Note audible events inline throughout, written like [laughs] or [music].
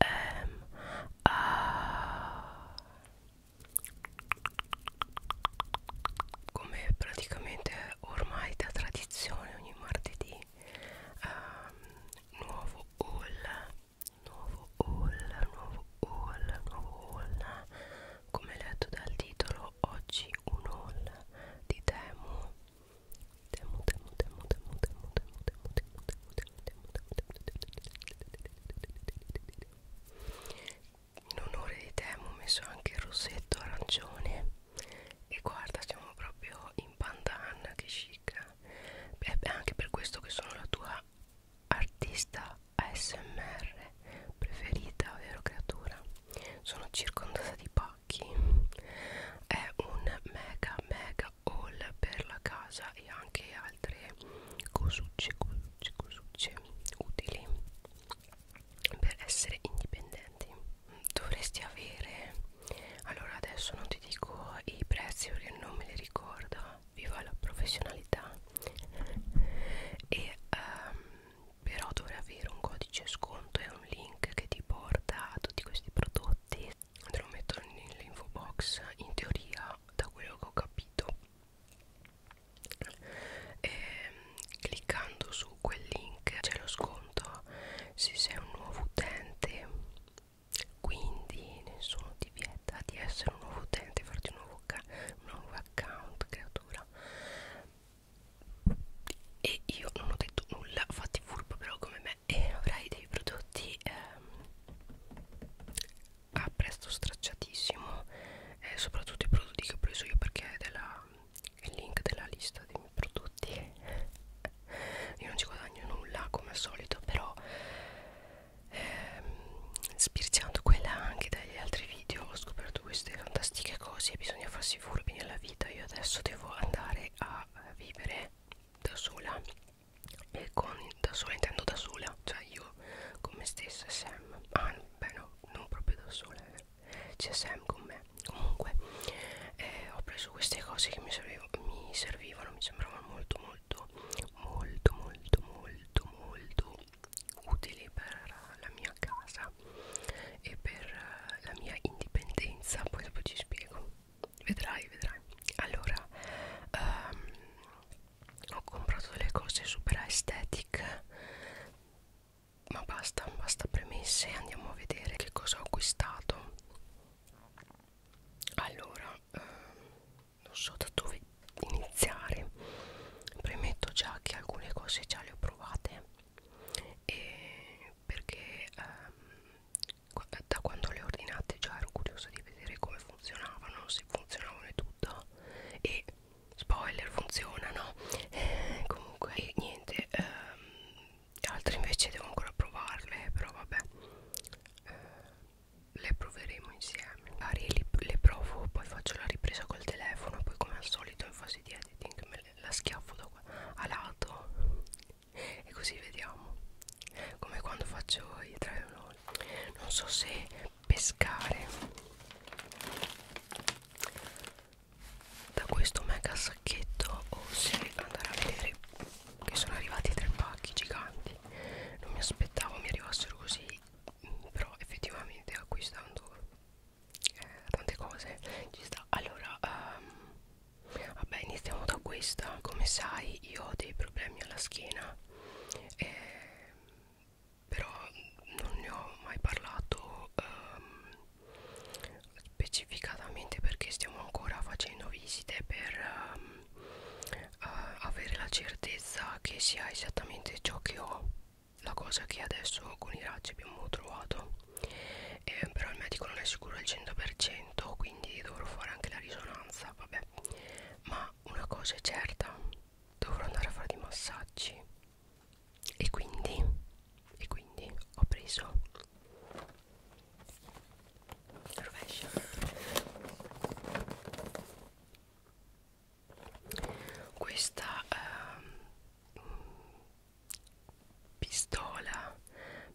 M ehm, A come praticamente ormai da tradizione ogni martedì um, nuovo haul nuovo haul nuovo haul nuovo haul come letto dal titolo oggi un haul di Temu temo temo temo temo temo temo temo temo temo temo temo in onore di temo ho messo anche il rossetto arancione e guarda siamo proprio in pandan che chic è anche per questo che sono la tua artista ASMR preferita vero creatura sono circondata di pacchi è un mega mega haul per la casa e anche altre cosucce, cosucce, cosucce utili per essere indipendenti dovresti avere allora adesso non ti dico i prezzi perché non me li ricordo viva la professionalità e um, però dovrei avere un codice sconto e un link che ti porta a tutti questi prodotti link te lo metto nell'info box in teoria da quello che ho capito e, ehm, cliccando su quel link c'è lo sconto se sei un nuovo utente quindi nessuno ti vieta di essere un nuovo utente farti un nuovo, un nuovo account creatura e io non ho detto nulla fatti furbo però come me e avrai dei prodotti ehm, a prezzo stracciatissimo eh, soprattutto i prodotti che ho preso io perché è della, il link della lista dei miei prodotti io non ci guadagno nulla come al solito però ehm, spirciando quella anche dagli altri video ho scoperto queste fantastiche cose e bisogna farsi furbi nella vita io adesso devo andare a vivere da sola e con il da sola intendo da sola cioè io con me stessa e Sam ah beh no non proprio da sola eh. c'è Sam con me comunque eh, ho preso queste cose che mi, servivo, mi servivano mi sembravano molto molto molto molto molto molto utili per la mia casa e per la mia indipendenza poi dopo ci spiego vedrai vedrai allora um, ho comprato delle cose super aesthetic ma basta basta premesse andiamo a vedere che cosa ho acquistato allora um, non so da dove iniziare premetto già che alcune cose già le ho provate e perché um, da quando le ho ordinate già ero curiosa di vedere come funzionavano, se funzionavano e tutto e spoiler funzionano eh, comunque e niente ehm, altre invece devo ancora provarle però vabbè eh, le proveremo insieme magari le, le provo poi faccio la ripresa col telefono poi come al solito in fase di editing me le, la schiaffo da qua a lato e così vediamo come quando faccio i 3 in 1 non so se pescare da questo mega sacchetto o se andare a vedere che sono arrivati tre pacchi giganti non mi aspettavo mi arrivassero così però effettivamente acquistando eh, tante cose ci sta allora um, vabbè iniziamo da questa come sai io ho dei problemi alla schiena eh, però non ne ho mai parlato ehm, specificatamente perché stiamo ancora facendo visite per ehm, eh, avere la certezza che sia esattamente ciò che ho la cosa che adesso con i raggi abbiamo trovato eh, però il medico non è sicuro al 100% spavento quindi dovrò fare anche la risonanza vabbè ma una cosa è certa dovrò andare a fare dei massaggi e quindi e quindi ho preso rovescia questa ehm, pistola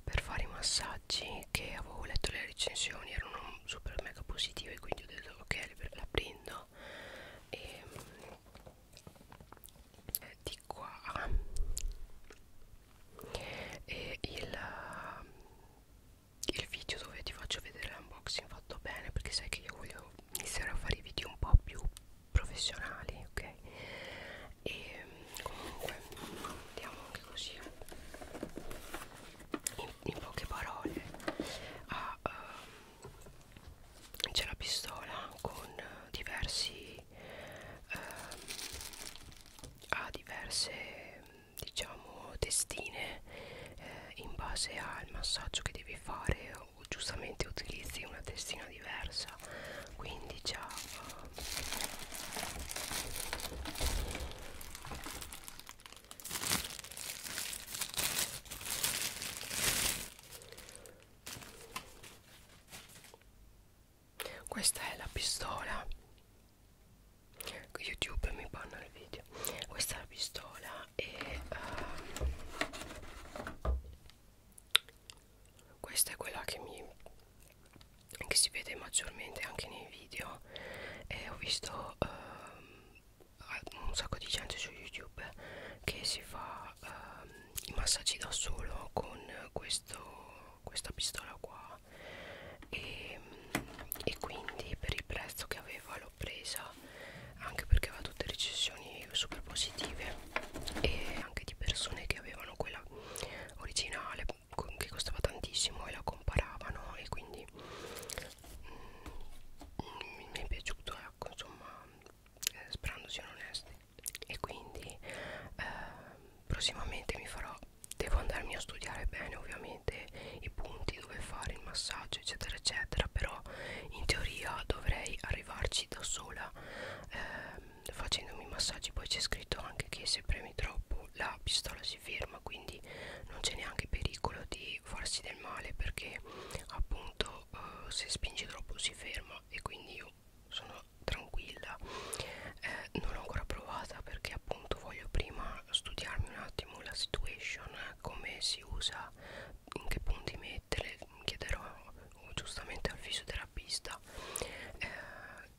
per fare i massaggi che avevo letto le recensioni erano super mega positive quindi ho detto ok la prendo e ehm, eh, di qua e il, il video dove ti faccio vedere l'unboxing fatto bene perché sai che io voglio iniziare a fare i video un po' più professionali ok e comunque vediamo anche così in, in poche parole ah, uh, c'è la pistola con diversi uh, ha diverse diciamo testine eh, in base al massaggio che devi fare o giustamente utilizzi una testina diversa quindi già uh, questa è la pistola. YouTube mi panna il video. Questa è la pistola e um, questa è quella che mi che si vede maggiormente anche nei video e ho visto uh, un sacco di gente su youtube che si fa uh, i massaggi da solo con questo, questa pistola qua e, e quindi per il prezzo che aveva l'ho presa anche perché aveva tutte recensioni super positive e anche di persone che avevano quella originale che costava tantissimo e la comparavano e quindi mm, mi è piaciuto ecco insomma eh, sperando siano onesti e quindi eh, prossimamente mi farò devo andarmi a studiare bene ovviamente i punti dove fare il massaggio eccetera eccetera però in teoria dovrei arrivarci da sola eh, facendomi massaggi poi c'è scritto anche che se premi troppo la pistola si ferma quindi non c'è neanche pericolo di farsi del male perché appunto eh, se spingi troppo si ferma e quindi io sono tranquilla eh, non l'ho ancora provata perché appunto voglio prima studiarmi un attimo la situation eh, come si usa in che punti mettere chiederò giustamente al fisioterapista eh,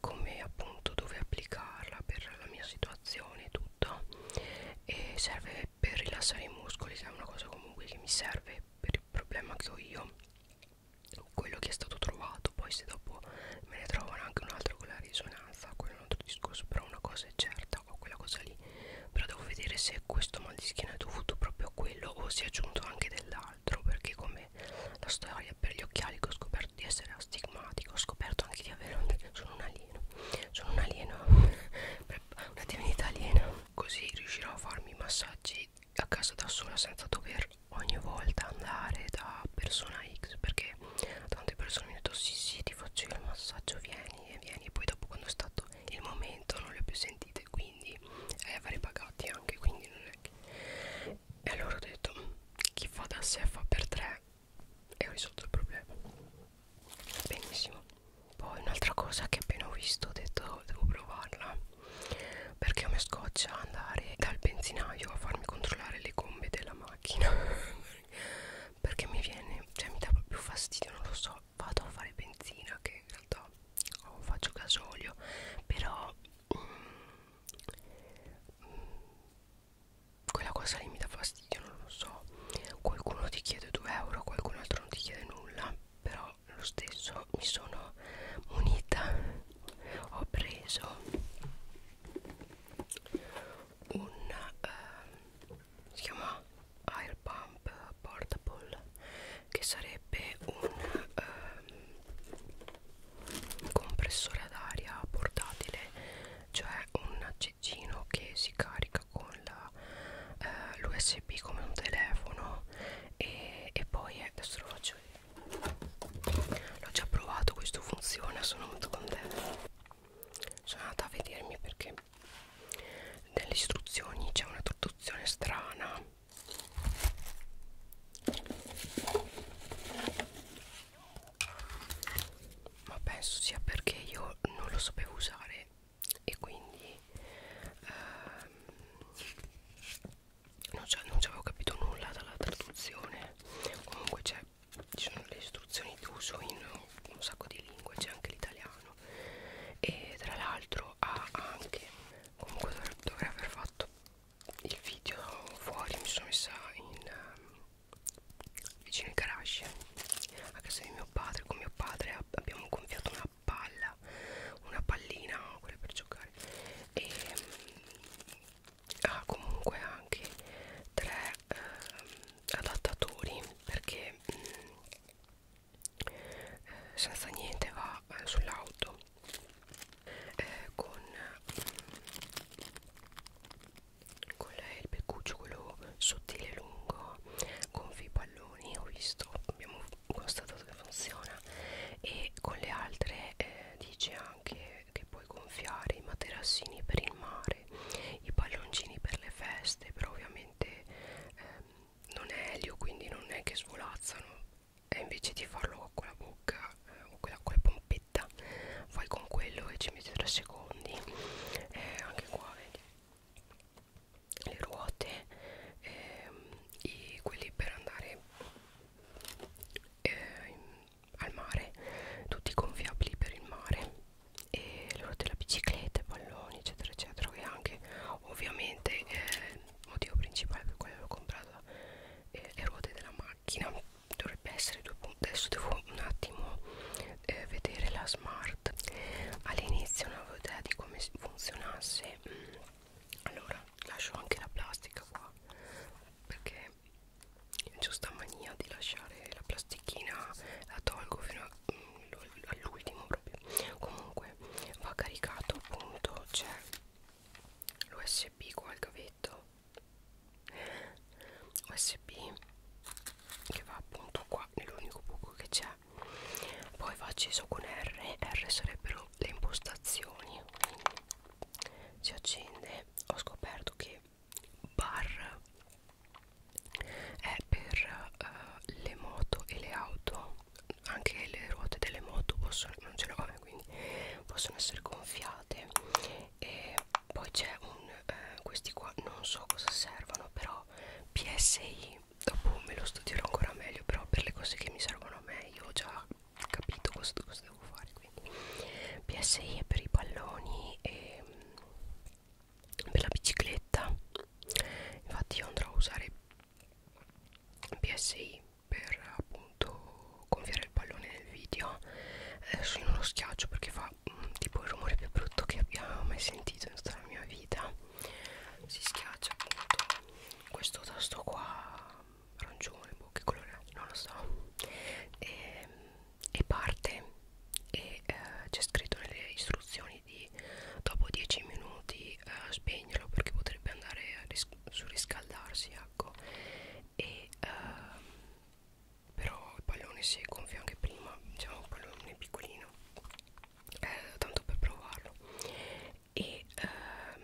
come appunto dove applicarla per la mia situazione e tutto e serve per rilassare i muscoli che è una cosa comunque che mi serve per il problema che ho io quello che è stato trovato poi se dopo me ne trovano anche un altro con la risonanza quello è un altro discorso però una cosa è certa ho quella cosa lì però devo vedere se questo mal di schiena è dovuto proprio a quello o si è aggiunto anche dell'altro altro perché come la storia per gli occhiali che ho scoperto di essere astigmatico ho scoperto anche di avere un, sono un alieno sono un alieno [laughs] una divinità aliena così riuscirò a farmi i massaggi a casa da sola senza dover ogni volta andare da persona X perché tante persone mi hanno detto sì sì ti faccio il massaggio vieni e vieni e poi dopo quando è stato il momento non le ho più sentite quindi e eh, avrei pagati anche quindi non è che e allora ho detto chi fa da sé fa per tre e ho risolto il problema. Benissimo. Poi un'altra cosa che appena ho visto ho detto devo provarla perché mi scoccia andare dal benzinaio a farmi controllare le gomme della macchina [laughs] perché mi viene, cioè mi dà più fastidio, non lo so, vado a fare benzina che in realtà o faccio gasolio, però mm, Mm. quella cosa lì mi dà fastidio non lo so qualcuno ti chiede 2 euro qualcun altro non ti chiede nulla però lo stesso mi sono munita ho preso un eh, si chiama air pump portable che sarebbe un eh, compressore d'aria portatile cioè un cecchino che si carica con l'USB eh, come un telefono e, e poi eh, adesso lo faccio vedere l'ho già provato questo funziona sono molto contenta sono andata a vedermi perché nelle istruzioni c'è una traduzione strana ma penso sia perché io non lo sapevo usare e quindi ehm, non ci avevo capito nulla dalla traduzione comunque c'è ci sono le istruzioni d'uso in un sacco di lingue c'è anche l'italiano e tra l'altro ha anche comunque dovrei, dovrei aver fatto il video fuori mi sono messa in, um, vicino ai garage a casa di mio padre con mio padre abbiamo gonfiato una palla una pallina quella per giocare e mm, ha ah, comunque anche tre eh, adattatori perché mh, mm, eh, senza niente va sulla, eh, sull'auto eh, con, con il beccuccio quello sottile e lungo con i palloni ho visto abbiamo constatato che funziona e con le altre eh, dice anche che puoi gonfiare i materassini per il mare i palloncini per le feste però ovviamente ehm, non è elio quindi non è che svolazzano e invece di farlo con la bocca eh, o quella, con la pompetta fai con quello e ci metti 3 secondi eh, anche qua vedi le ruote eh, quelli per andare eh, al mare tutti gonfiabili per il mare e le ruote della bicicletta palloni eccetera eccetera e anche ovviamente eh, il motivo principale per cui l'ho comprato eh, le ruote della, macchina dovrebbe essere due punti adesso devo un attimo eh, vedere la smart all'inizio non avevo idea di come funzionasse mm. allora lascio anche la plastica qua perché c'ho sta mania di lasciare la plastichina la tolgo fino mm, all'ultimo proprio comunque va caricato appunto c'è l'usb qua il gavetto macchinetto usb che va appunto qua nell'unico buco che c'è poi va acceso con r r sarebbero le impostazioni quindi si accende ho scoperto che bar è per uh, le moto e le auto anche le ruote delle moto possono non ce l'ho eh, quindi possono essere gonfiate e poi c'è un eh, questi qua non so cosa servono però PSI dopo me lo studierò ancora meglio però per le cose che mi servono a me io ho già capito cosa, cosa devo fare quindi PSI è per i palloni e mm, per la bicicletta infatti io andrò a usare PSI per appunto gonfiare il pallone nel video adesso io non lo schiaccio perché fa mh, mm, tipo il rumore più brutto che abbia mai sentito in tutta la mia vita si schiaccia appunto questo tasto qua arancione boh che colore è? non lo so e, ehm, e parte e eh, c'è scritto nelle istruzioni di dopo 10 minuti eh, spegnerlo perché potrebbe andare a ris surriscaldarsi a eh sacco e ehm, però il pallone si è gonfio anche prima diciamo un pallone piccolino eh, tanto per provarlo e ehm,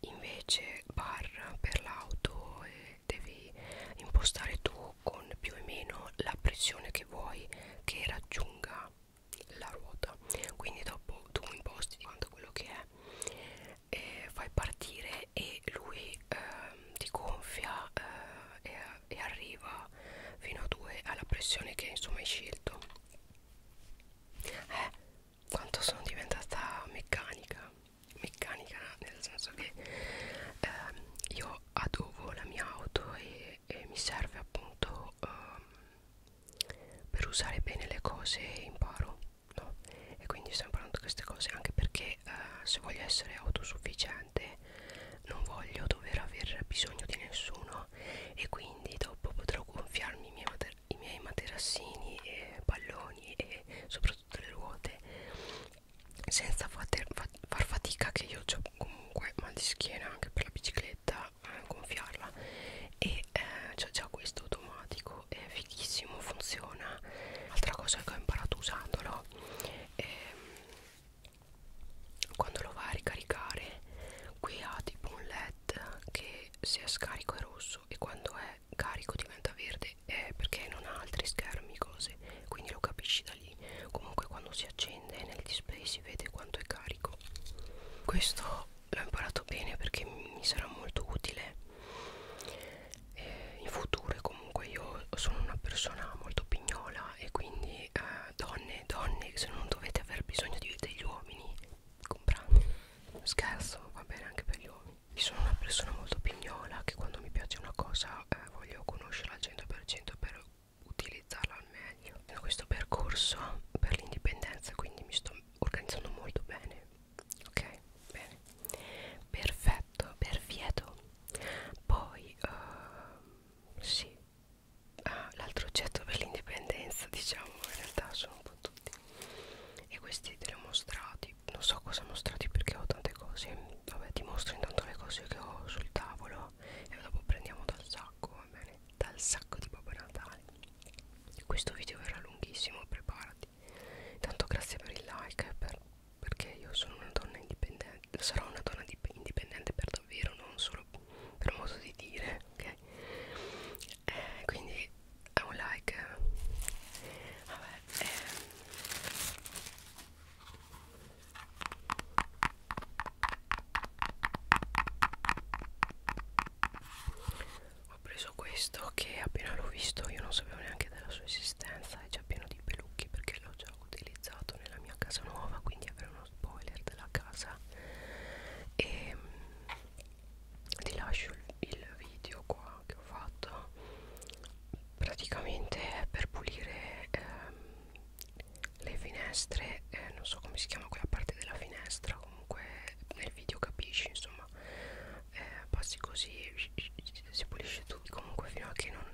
invece barra per l'auto eh, devi impostare tu con più e meno la pressione che vuoi che raggiunga la ruota quindi dopo tu imposti quanto quello che è eh, fai partire e lui eh, ti gonfia eh, e, e arriva fino a 2 alla pressione che insomma hai scelto eh, quanto sono diventata meccanica meccanica nel senso che ehm, io adobo la mia auto e, e mi serve appunto ehm, per usare bene le cose imparo no? E quindi sto imparando queste cose anche perché eh, se voglio essere autosufficiente non voglio dover aver bisogno di nessuno e quindi dopo potrò gonfiarmi i miei, mater i miei materassini e palloni e soprattutto le ruote senza fater, fa, far fatica che io ho comunque mal di schiena anche per la bicicletta eh, gonfiarla e eh, c'è già questo automatico è fighissimo funziona altra cosa che ho imparato usandolo è, ehm, quando lo vai a ricaricare qui ha tipo un led che se è scarico è rosso e quando è carico diventa verde è eh, perché non ha altri schermi cose quindi lo capisci da lì comunque quando si accende nel display si vede quanto è carico questo l'ho imparato bene perché mi sarà molto utile eh, in futuro comunque io sono una persona molto pignola e quindi eh, donne donne se non dovete aver bisogno di, degli uomini comprate scherzo va bene anche per gli uomini io sono una persona molto pignola che quando mi piace una cosa eh, voglio conoscerla al 100% per utilizzarla al meglio in questo percorso per l'indipendenza quindi mi sto organizzando molto bene ok bene perfetto perfieto poi uh, sì ah, l'altro oggetto per l'indipendenza diciamo in realtà sono un po' tutti e questi te li ho mostrati non so cosa mostrati perché ho tante cose vabbè ti mostro intanto le cose che ho sul tavolo e dopo prendiamo dal sacco va bene dal sacco di Babbo Natale questo video verrà lunghissimo preparati tanto grazie per il like per, perché io sono una donna indipendente sarò una donna indipendente per davvero non solo per modo di dire ok eh, quindi è un like vabbè eh ho preso questo che appena l'ho visto io non sapevo neanche della sua esistenza è già pieno di pelucchi perché l'ho già utilizzato nella mia casa nuova quindi avrò uno spoiler della casa e ehm, ti lascio il video qua che ho fatto praticamente è per pulire ehm, le finestre eh, non so come si chiama quella parte della finestra comunque nel video capisci insomma insomma eh, passi così si pulisce tutti comunque fino a che non,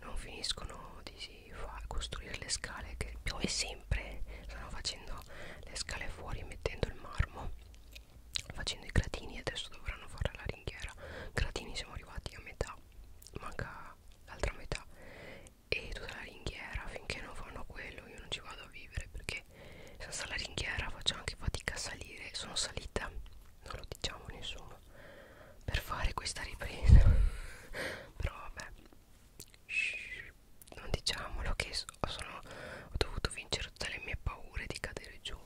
non finiscono di far costruire le scale che piove sempre stanno facendo le scale fuori mettendo il marmo facendo i gradini adesso dovranno fare la ringhiera gradini siamo arrivati a metà manca l'altra metà e tutta la ringhiera finché non fanno quello io non ci vado a vivere perché senza la ringhiera faccio anche fatica a salire sono salita non lo diciamo a nessuno per fare questa ripresa [laughs] però vabbè Shhh, non diciamolo che sono, ho dovuto vincere tutte le mie paure di cadere giù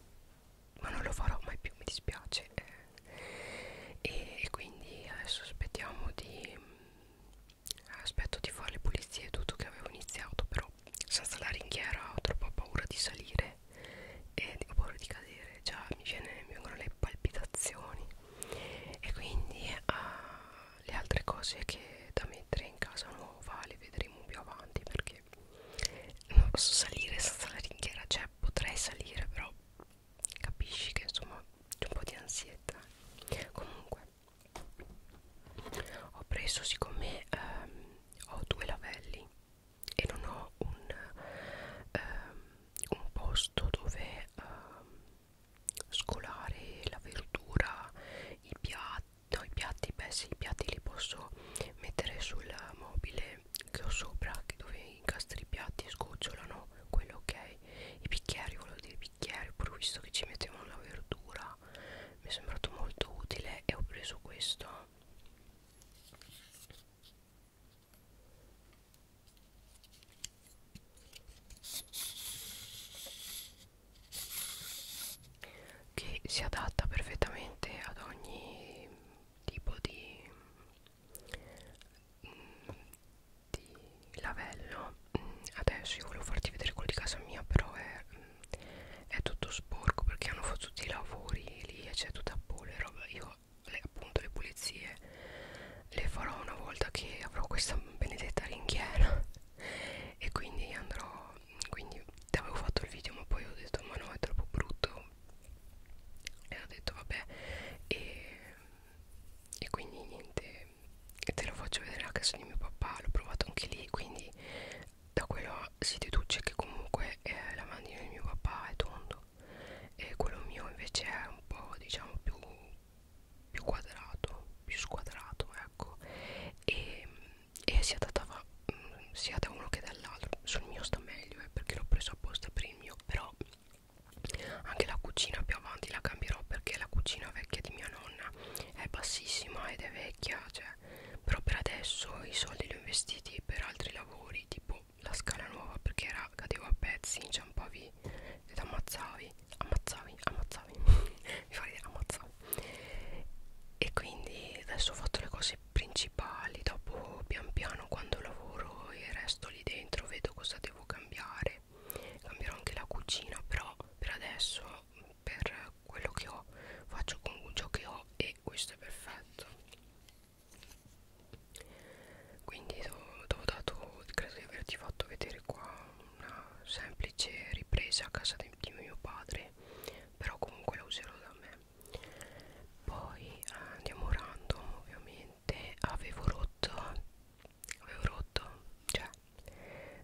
ma non lo farò mai più mi dispiace eh. e, e quindi adesso aspettiamo di aspetto di fare le pulizie e tutto che avevo iniziato però senza la ringhiera ho troppa paura di salire e ho paura di cadere già mi, viene, mi vengono le palpitazioni e quindi uh, le altre cose che da mettere in casa nuova le vedremo più avanti perché non posso salire senza la ringhiera cioè potrei salire però capisci che insomma c'è un po' di ansietà comunque ho preso siccome ehm, ho due lavelli e non ho un, ehm, un posto dove ehm, scolare la verdura i piatti no, i piatti beh sì, i piatti li posso mettere sul mobile che ho sopra che dove incastri i piatti sgocciolano quello ok i bicchieri volevo dire i bicchieri pur visto che ci mettevano la verdura realtà mi è sembrato molto utile e ho preso questo che si adatta perfettamente ad ogni tipo di, mm, di lavello adesso io volevo farti vedere quello di casa mia però è, mm, è tutto sporco perché hanno fatto tutti i lavori lì e c'è tutta polvere roba io le, appunto le pulizie le farò una volta che avrò questa benedetta ringhiera [laughs] e quindi andrò quindi ti avevo fatto il video ma poi ho detto ma no è troppo brutto e ho detto vabbè e, e quindi niente e te lo faccio vedere a casa di mio papà l'ho provato anche lì quindi da quello si deduce che comunque eh, la mandina di mio papà è tondo e quello mio invece è un po' diciamo più, più quadrato più squadrato ecco e, e si adattava mm, sia da uno che dall'altro sul mio sta meglio eh, perché l'ho preso apposta per il mio però anche la cucina più avanti la cambierò perché la cucina vecchia di mia nonna è bassissima ed è vecchia vecchia cioè. però per adesso i soldi li ho investiti per altri lavori tipo la scala nuova perché era, cadevo a pezzi inciampavi ed ammazzavi ammazzavi ammazzavi [laughs] mi fa ridere ammazzavi e quindi adesso ho fatto le cose principali dopo pian piano quando lavoro e resto lì dentro vedo cosa devo cambiare cambierò anche la cucina però per adesso per quello che ho faccio con ciò che ho e questo è perfetto quindi ho dato credo di averti fatto vedere qua una semplice ripresa a casa di, di mio padre però comunque la userò da me poi eh, andiamo random ovviamente avevo rotto avevo rotto cioè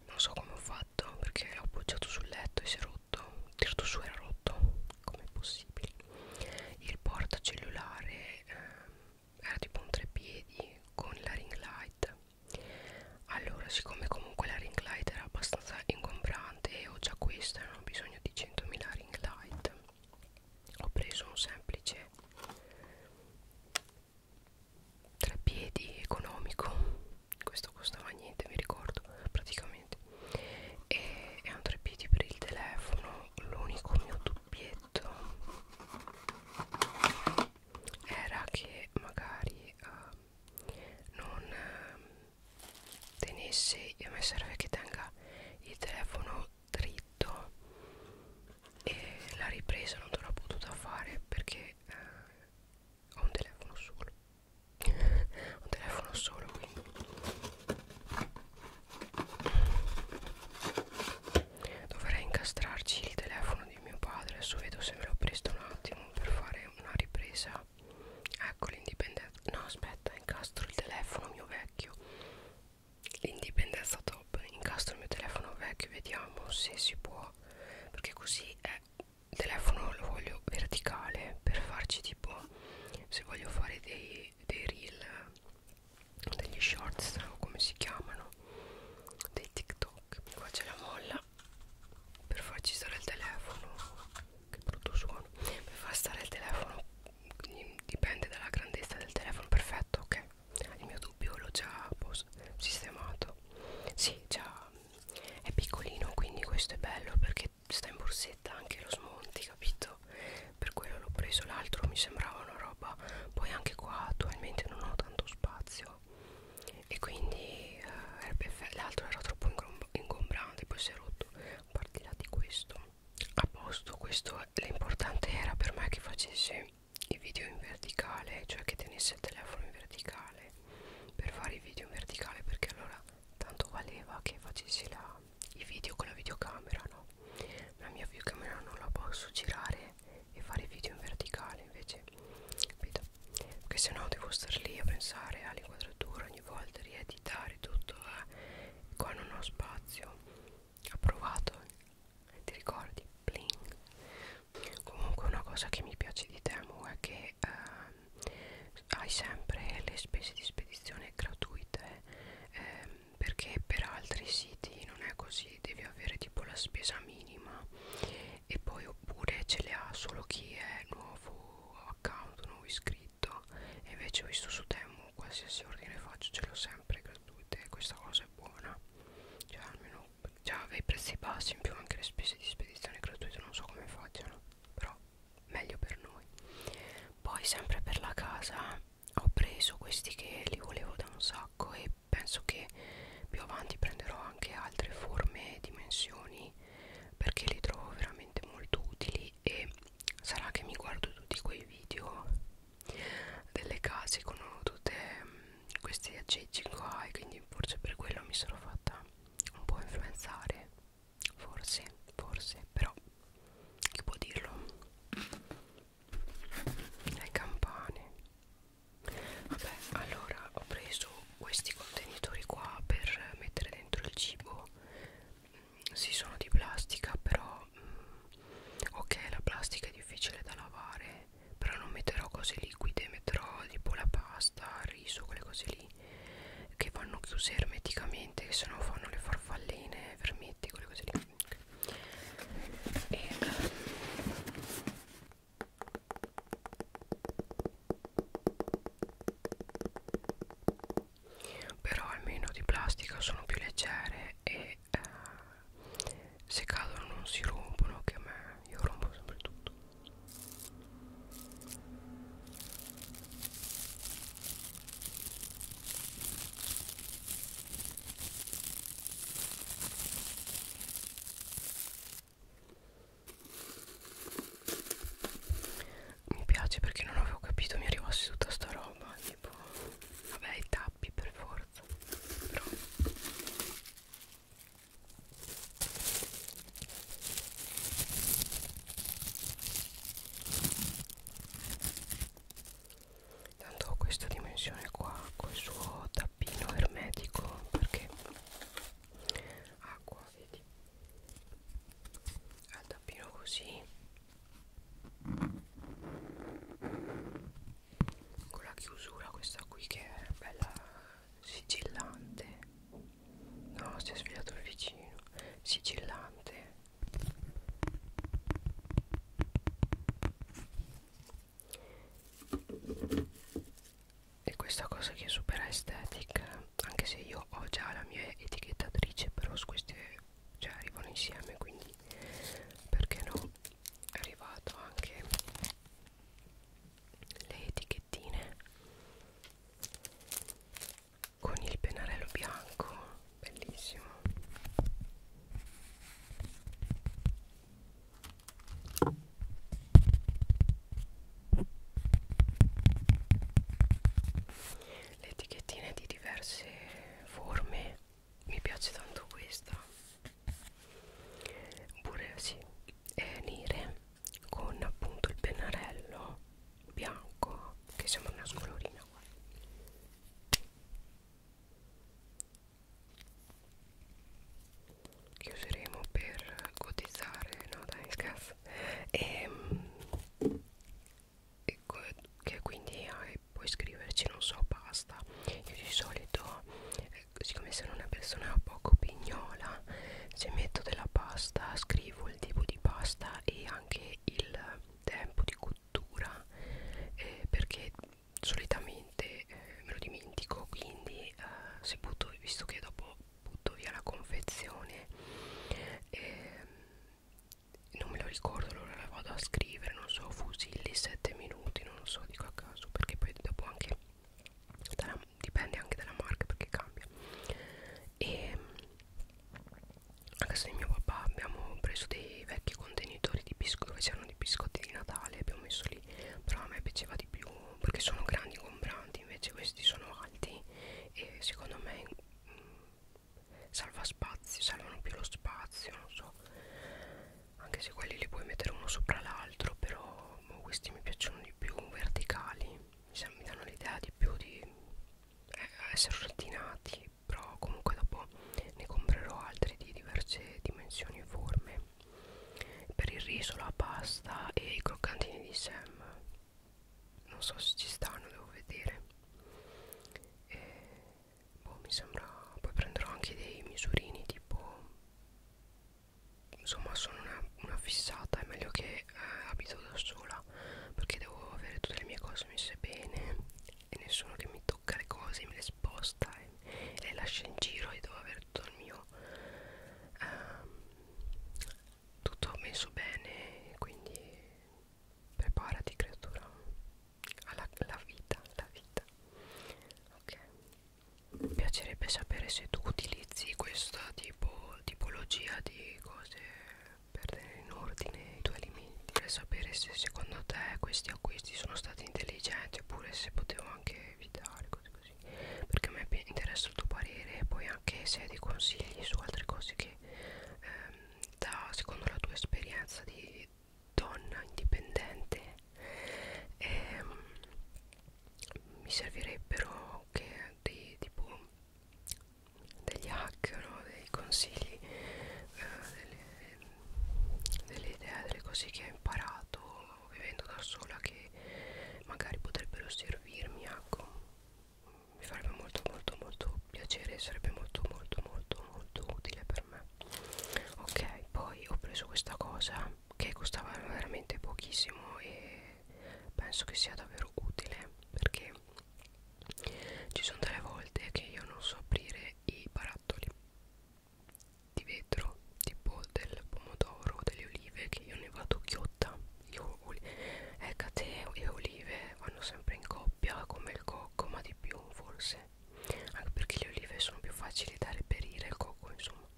non so come ho fatto perché l'ho appoggiato sul letto e si è rotto il tirato su era rotto come possibile il portacellulare eh, era tipo un treppiedi con la ring light allora siccome comunque la ring light era abbastanza ingombrante e ho già questa non ho bisogno di 100.000 ring light ho preso un semplice tre piedi economico questo costava niente mi ricordo praticamente e è un tre piedi per il telefono l'unico mio dubbietto era che magari uh, non uh, tenesse a me serve che tenga il telefono dritto e la ripresa non te l'ho potuta fare perché eh, ho un telefono solo [laughs] un telefono solo quindi dovrei incastrarci il telefono di mio padre adesso vedo se me lo presto un attimo per fare una ripresa ecco l'indipendenza no aspetta incastro il telefono mio vecchio l'indipendenza top incastro il mio telefono vecchio vediamo se si può perché così è il telefono lo voglio verticale per farci tipo se voglio fare dei, dei reel degli shorts o come si chiamano dei tiktok qua c'è la molla per farci stare il telefono che brutto suono per far stare il telefono dipende dalla grandezza del telefono perfetto ok il mio dubbio l'ho già sistemato sì già è piccolino quindi questo è bello perché sta in borsetta anche lo smonti capito per quello l'ho preso l'altro mi sembrava una roba poi anche qua attualmente non ho tanto spazio e quindi eh, l'altro era troppo ingombrante poi si è rotto a parte là di questo a posto questo l'importante era per me che facesse il video in verticale cioè che tenesse il telefono in verticale per fare i video in verticale perché allora tanto valeva che facessi la, i video con la videocamera no la mia videocamera non la posso girare e fare video in verticale invece capito perché se no devo star lì a pensare all'inquadratura ogni volta rieditare tutto eh. qua non ho spazio approvato eh. ti ricordi bling comunque una cosa che mi piace di Temu è che eh, hai sempre le spese di spedizione gratuite eh, perché per altri siti non è così devi avere tipo la spesa minima e poi oppure ce le ha solo chi è nuovo account nuovo iscritto e invece ho visto su Temu qualsiasi ordine faccio ce l'ho sempre gratuite questa cosa è buona cioè almeno già aveva i prezzi bassi in più anche le spese di spedizione gratuite non so come facciano però meglio per noi poi sempre per la casa ho preso questi che li volevo da un sacco e penso che più avanti prenderò anche altre forme e dimensioni perché li trovo veramente molto utili e sarà che mi guardo tutti quei video delle case con tutte questi aggeggi qua e quindi forse per quello mi sono fatta un po' influenzare forse forse però chi può dirlo le campane vabbè allora ho preso questi contenitori qua per mettere dentro il cibo mm, si sono di plastica però mm, ok la plastica è difficile da lavare però non metterò cose liquide metterò tipo la pasta il riso quelle cose lì che vanno chiuse ermeticamente che se no fanno le farfalline vermetti quelle cose lì e, però almeno di plastica sono più leggere e eh, se cadono non si rompono che a me io rompo sempre tutto mi piace perché non avevo capito mi arrivasse tutta sta roba, tipo vabbè i tappi per forza, però Tanto ho questa dimensione qua col suo tappino ermetico perché acqua, vedi? Al tappino così con la chiusura questa qui che è bella sigillante no si è svegliato il vicino sigillante e questa cosa che è super estetica anche se io ho già la mia etichettatrice però su queste cioè arrivano insieme quindi perché no è arrivato anche le etichettine con il pennarello bianco bellissimo le etichettine di diverse forme mi piace tanto questa pure sì eh, nere con appunto il pennarello bianco che sembra una scolorina qua che useremo per cotizzare no dai scherzo ehm, e, e che quindi eh, puoi scriverci non so pasta io di solito siccome sono una persona poco pignola se metto della pasta scrivo il tipo di pasta e anche il tempo di cottura eh, perché solitamente eh, me lo dimentico quindi eh, se butto visto che dopo butto via la confezione eh, non me lo ricordo allora la vado a scrivere non so fusilli 7 minuti non lo so dico a caso perché poi dopo anche dalla, dipende anche dalla marca perché cambia e a casa di mio papà abbiamo preso dei vecchi contenitori di biscotti dove c'erano dei biscotti di Natale abbiamo messo lì però a me piaceva di più perché sono grandi compranti invece questi sono alti e secondo me mh, mm, salva spazio salvano più lo spazio non so anche se quelli li puoi mettere uno sopra l'altro però boh, questi mi piacciono di più verticali mi, mi danno l'idea di più di eh, essere ordinati però comunque dopo ne comprerò altri di diverse dimensioni e forme per il riso la pasta e i croccantini di Sam non so se ci stanno devo vedere e, boh mi sembra poi prenderò anche dei misurini tipo insomma sono una, una fissata è meglio che eh, abito da sola perché devo avere tutte le mie cose messe bene e nessuno che mi tocca le cose me le sposta e, e le lascia in giro e devo avere tutto il mio ehm, tutto messo bene quindi preparati creatura alla, alla vita la vita ok mi piacerebbe sapere se tu utilizzi questa tipo, tipologia di cose per tenere in ordine i tuoi alimenti per sapere se secondo te questi acquisti sono stati intelligenti oppure se potevo anche evitare cose così perché a me interessa il tuo parere e poi anche se hai dei consigli su altre cose che ehm, da secondo la tua esperienza di donna indipendente ehm, mi servirebbero che dei, tipo degli hack, no? dei consigli, eh, delle, delle idee, delle cose che ho imparato vivendo da sola che magari potrebbero servirmi, ecco. Mi farebbe molto molto molto piacere, sarebbe molto molto molto molto utile per me. Ok, poi ho preso questa cosa che costava veramente pochissimo e penso che sia davvero utile perché ci sono delle volte che io non so aprire i barattoli di vetro tipo del pomodoro delle olive che io ne vado chiotta io, ecate eh, e olive vanno sempre in coppia come il cocco ma di più forse anche perché le olive sono più facili da reperire il cocco insomma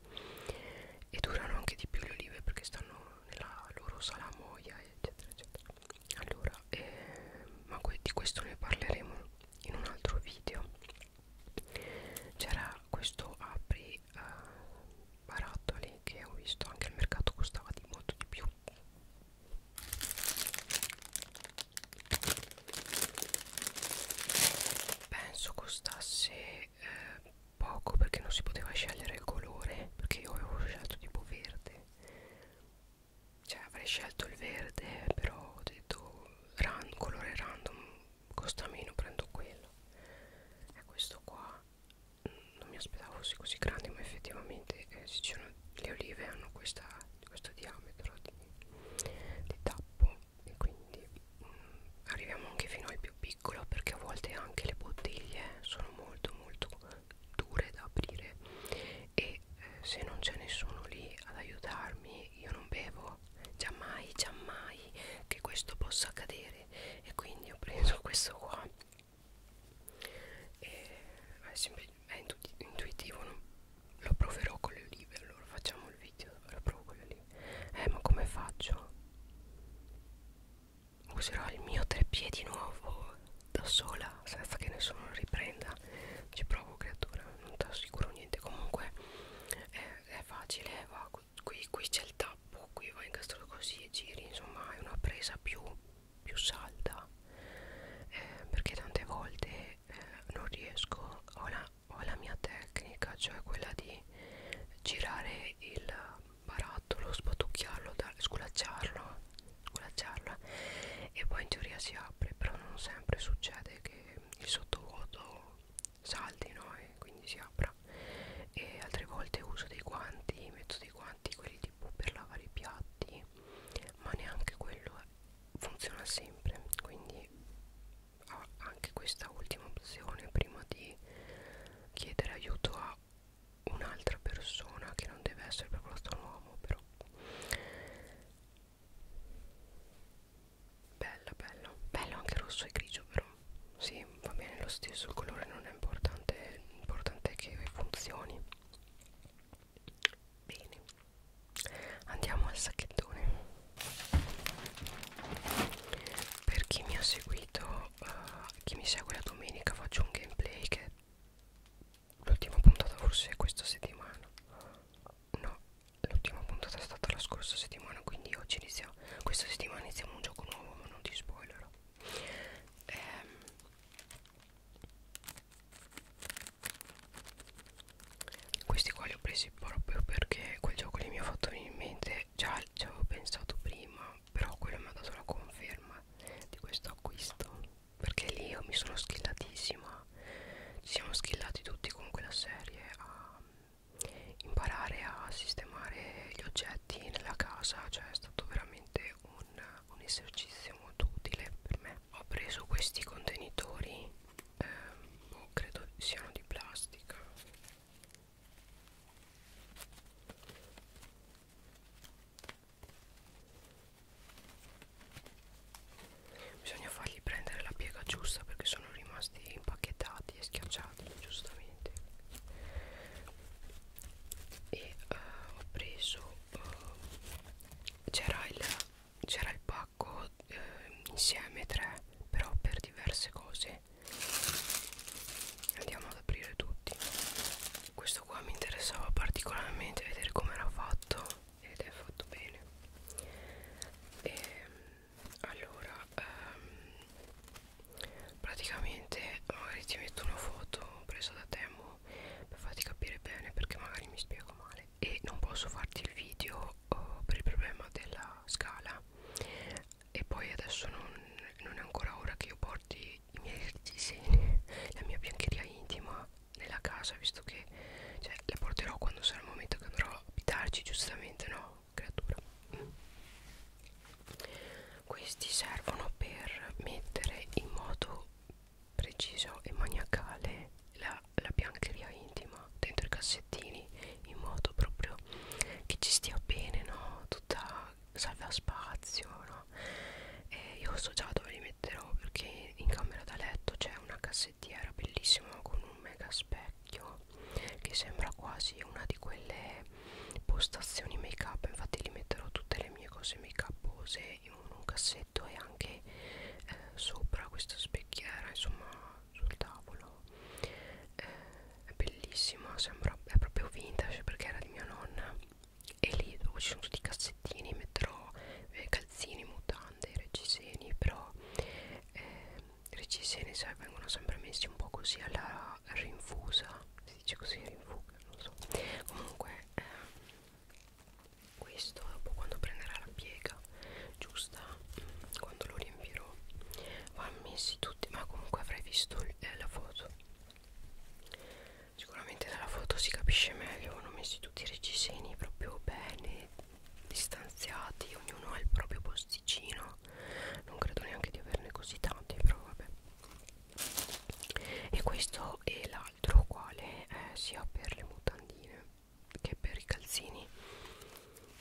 e durano anche di più le olive perché stanno nella loro salamoia eccetera eccetera allora eh, ma que di questo ne parleremo in un altro video c'era questo apri eh, barattoli che ho visto anche al mercato costava di molto di più penso costasse eh, poco perché non si poteva scegliere il colore perché io avevo scelto tipo verde cioè avrei scelto il verde però ho detto ran colore random costa meno prendo quello e questo qua mm, non mi aspettavo fosse così grande ma effettivamente eh, ci sono, le olive hanno questa, questo diametro di, di tappo e quindi mh, mm, arriviamo anche fino al più piccolo perché a volte anche le bottiglie sono molto molto dure da aprire e eh, se non c'è nessuno lì ad aiutarmi io non bevo già mai già mai che questo possa accadere e quindi ho preso [laughs] questo qua e è, sempre, è intuitivo non? lo proverò con le olive allora facciamo il video ora provo quello lì eh ma come faccio userò il mio treppiedi nuovo da sola senza che nessuno lo riprenda ci provo creatura non ti assicuro niente comunque è, è facile va qui, qui c'è il tappo qui vai incastrato così e giri insomma è una presa più più salda eh, perché tante volte eh, non riesco ho la ho la mia tecnica cioè quella di girare il barattolo spatucchiarlo sculacciarlo sculacciarla e poi in teoria si apre però non sempre succede che il sottovuoto salti no e quindi si apra e altre volte uso dei guanti metto dei guanti quelli tipo per lavare i piatti ma neanche quello eh, funziona sempre quindi a anche questa ultima opzione prima di chiedere aiuto a un'altra persona che non deve essere per forza un uomo però bello bello bello anche rosso e grigio però sì va bene lo stesso il colore non è importante l'importante è che funzioni bene andiamo al sacchettone per chi mi ha seguito uh, chi mi segue la domenica faccio un gameplay che l'ultima puntata forse è questa settimana no l'ultima puntata è stata la scorsa settimana quindi oggi iniziamo questa settimana iniziamo un gioco nuovo ma non ti spoilerò ehm, questi qua li ho presi proprio perché quel gioco lì mi ha fatto venire in mente già ci avevo pensato prima però quello mi ha dato la conferma di questo acquisto perché lì io mi sono schillatissima ci siamo schillati tutti con quella serie a imparare a sistemare gli oggetti nella casa cioè è stato veramente un, un esercizio molto utile per me ho preso questi contenitori eh, boh, credo siano di plastica bisogna fargli prendere la piega giusta perché sono rimasti impacchettati e schiacciati giustamente e uh, ho preso uh, c'era il c'era il pack pacco eh, insieme tre però per diverse cose andiamo ad aprire tutti questo qua mi interessava particolarmente vedere come era fatto ed è fatto bene e, ehm, allora ehm, praticamente magari ti metto una foto presa da Temo per farti capire bene perché magari mi spiego male e non posso farti il video uh, per il problema della scala e poi adesso non, non è ancora ora che io porti i miei [laughs] disegni la mia biancheria intima nella casa visto che cioè, la porterò quando sarà il momento che andrò a abitarci giustamente no creatura mm. questi servono per mettere in modo preciso e maniacale la la biancheria intima dentro i cassettini in modo proprio che ci stia bene, no? Tutta salva spazio, no? E io so già dove li metterò perché in camera da letto c'è una cassettiera bellissima con un mega specchio che sembra quasi una di quelle postazioni make up, infatti li metterò tutte le mie cose make upose in un cassetto e anche eh, sopra questa specchiera, insomma sul tavolo eh, è bellissima sembra è proprio vintage perché era di mia nonna e lì dove ci sono tutti i cassettini metterò eh, calzini mutande reggiseni però eh, reggiseni sai vengono sempre messi un po' così alla rinfusa si dice così rinfusa non so comunque eh, questo dopo quando prenderà la piega giusta quando lo riempirò vanno messi tutti ma comunque avrai visto eh, la foto sicuramente dalla foto si capisce meglio vanno messi tutti i reggiseni proprio bene distanziati ognuno ha il proprio posticino non credo neanche di averne così tanti però vabbè e questo e l'altro quale eh, sia per le mutandine che per i calzini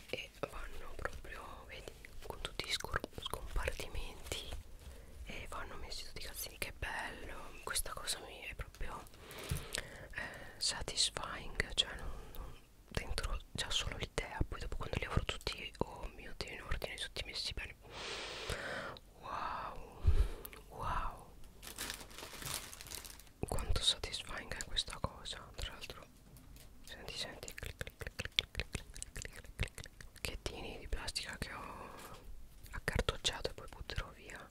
e vanno proprio vedi con tutti i scompartimenti e vanno messi tutti i calzini che bello questa cosa mi è proprio eh, satisfying cioè non, non, dentro già solo l'idea poi dopo quando li avrò tutti oh mio dio in ordine tutti messi bene wow wow quanto satisfying è questa cosa tra l'altro senti senti bacchettini di plastica che ho accartocciato e poi butterò via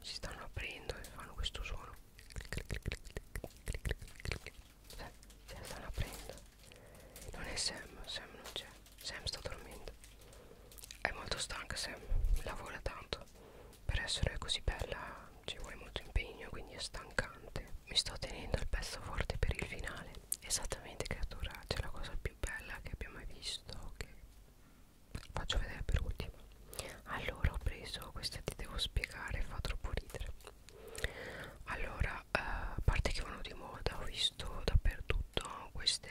si stanno aprendo e fanno questo suono se stanno aprendo non è Sam Sam non c'è Sam sta dormendo è molto stanca Sam lavora tanto per essere così bella ci vuole molto impegno quindi è stancante mi sto tenendo il pezzo forte per il finale esattamente creatura c'è la cosa più bella che abbia mai visto che faccio vedere per ultimo allora ho preso questa ti devo spiegare fa troppo ridere allora eh, a parte che vanno di moda ho visto dappertutto queste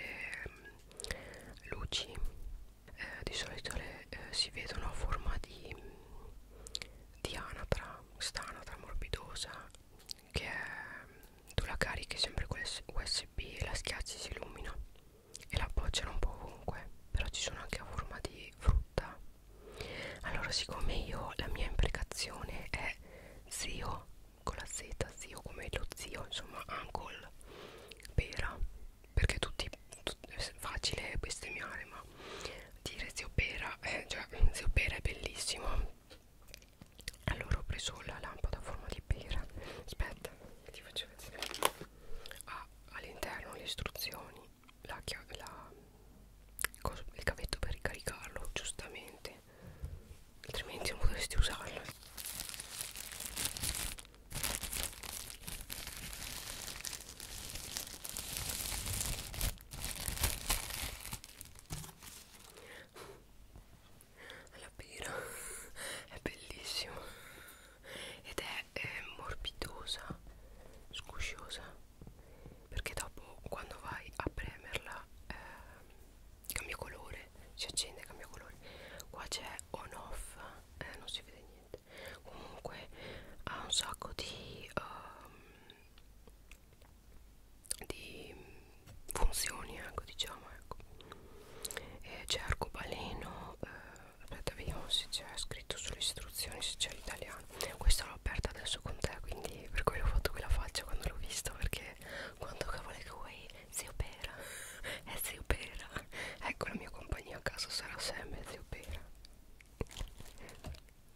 eh, luci eh, di solito le, eh, si vedono a forma di, di anatra, questa anatra morbidosa che è, tu la carichi sempre con USB e la schiacci si illumina e la appoggiano un po' ovunque, però ci sono anche a forma di frutta. Allora siccome io la mia imprecazione è zio con la z, zio come lo zio, insomma uncle, pera perché tutti tut, è facile bestemmiare ma dire zio pera eh, cioè zio pera è bellissimo allora ho preso la lampada a forma di pera aspetta ti faccio vedere ah, all'interno le istruzioni la, la, il cavetto per ricaricarlo giustamente altrimenti non potresti usarlo alla pera [laughs] è bellissima ed è, è morbidosa scusciosa perché dopo quando vai a premerla eh, cambia colore si accende cambia colore qua c'è on off eh, non si vede niente comunque ha un sacco di, um, di funzioni ecco diciamo ecco c'è arcobaleno eh, aspetta vediamo se c'è scritto sulle istruzioni se c'è l'italiano questa l'ho aperta adesso con te quindi per quello ho fatto quella faccia quando l'ho vista perché quando cavolo che vuoi zio pera [laughs] è zio pera ecco la mia compagnia a casa sarà sempre zio pera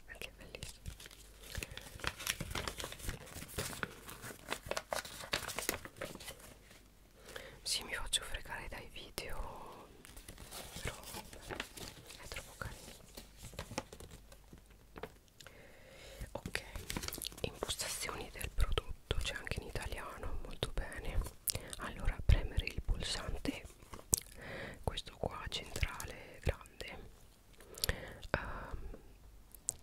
anche bellissimo sì mi faccio fregare dai video però è troppo carino ok impostazioni del prodotto c'è anche in italiano molto bene allora premere il pulsante questo qua centrale grande um,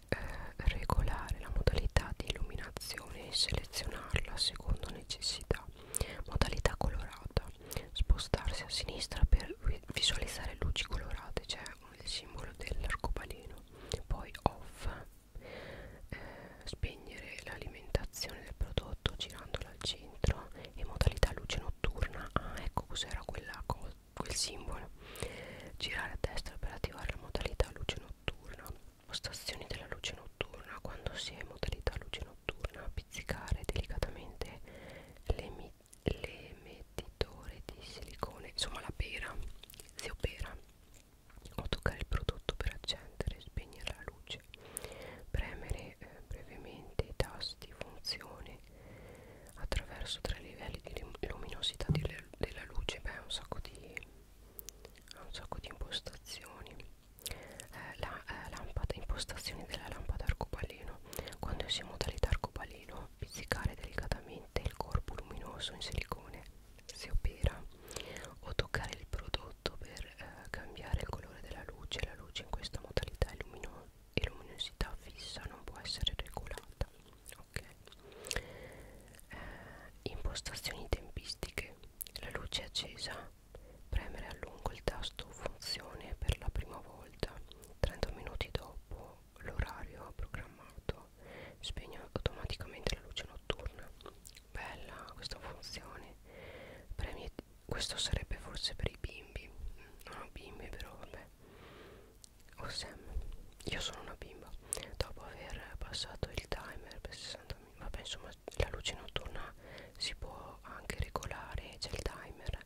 eh, regolare la modalità di illuminazione e selezionarla a secondo necessità modalità colorata spostarsi a sinistra per visualizzare luci colorate cioè il simbolo dell'arcobaleno poi off eh, spegnere l'alimentazione del prodotto girandola al centro in modalità luce notturna ah ecco cos'era quel simbolo girare a destra per attivare la modalità luce notturna postazioni della luce notturna quando si è in modalità luce notturna pizzicare delicatamente l'emettitore di silicone insomma la pera si opera o toccare il prodotto per accendere e spegnere la luce semplice premere eh, brevemente i tasti funzione attraverso tre livelli di luminosità delle, della luce beh ha un sacco di ha un sacco di impostazioni eh, la eh, lampada impostazioni della lampada arcobaleno quando si è in modalità arcobaleno pizzicare delicatamente il corpo luminoso in silicone si opera o toccare il prodotto per eh, cambiare il colore della luce la luce in questa modalità e lumino luminosità fissa non può essere regolata ok eh, impostazioni tempistiche la luce accesa premere a lungo il tasto funzione per la prima volta 30 minuti dopo l'orario programmato spegne automaticamente la luce notturna bella questa funzione premi questo sarebbe forse per i bimbi non ho bimbi però vabbè o Sam io sono una bimba dopo aver passato il timer per 60 minuti vabbè insomma la luce notturna si può anche regolare c'è il timer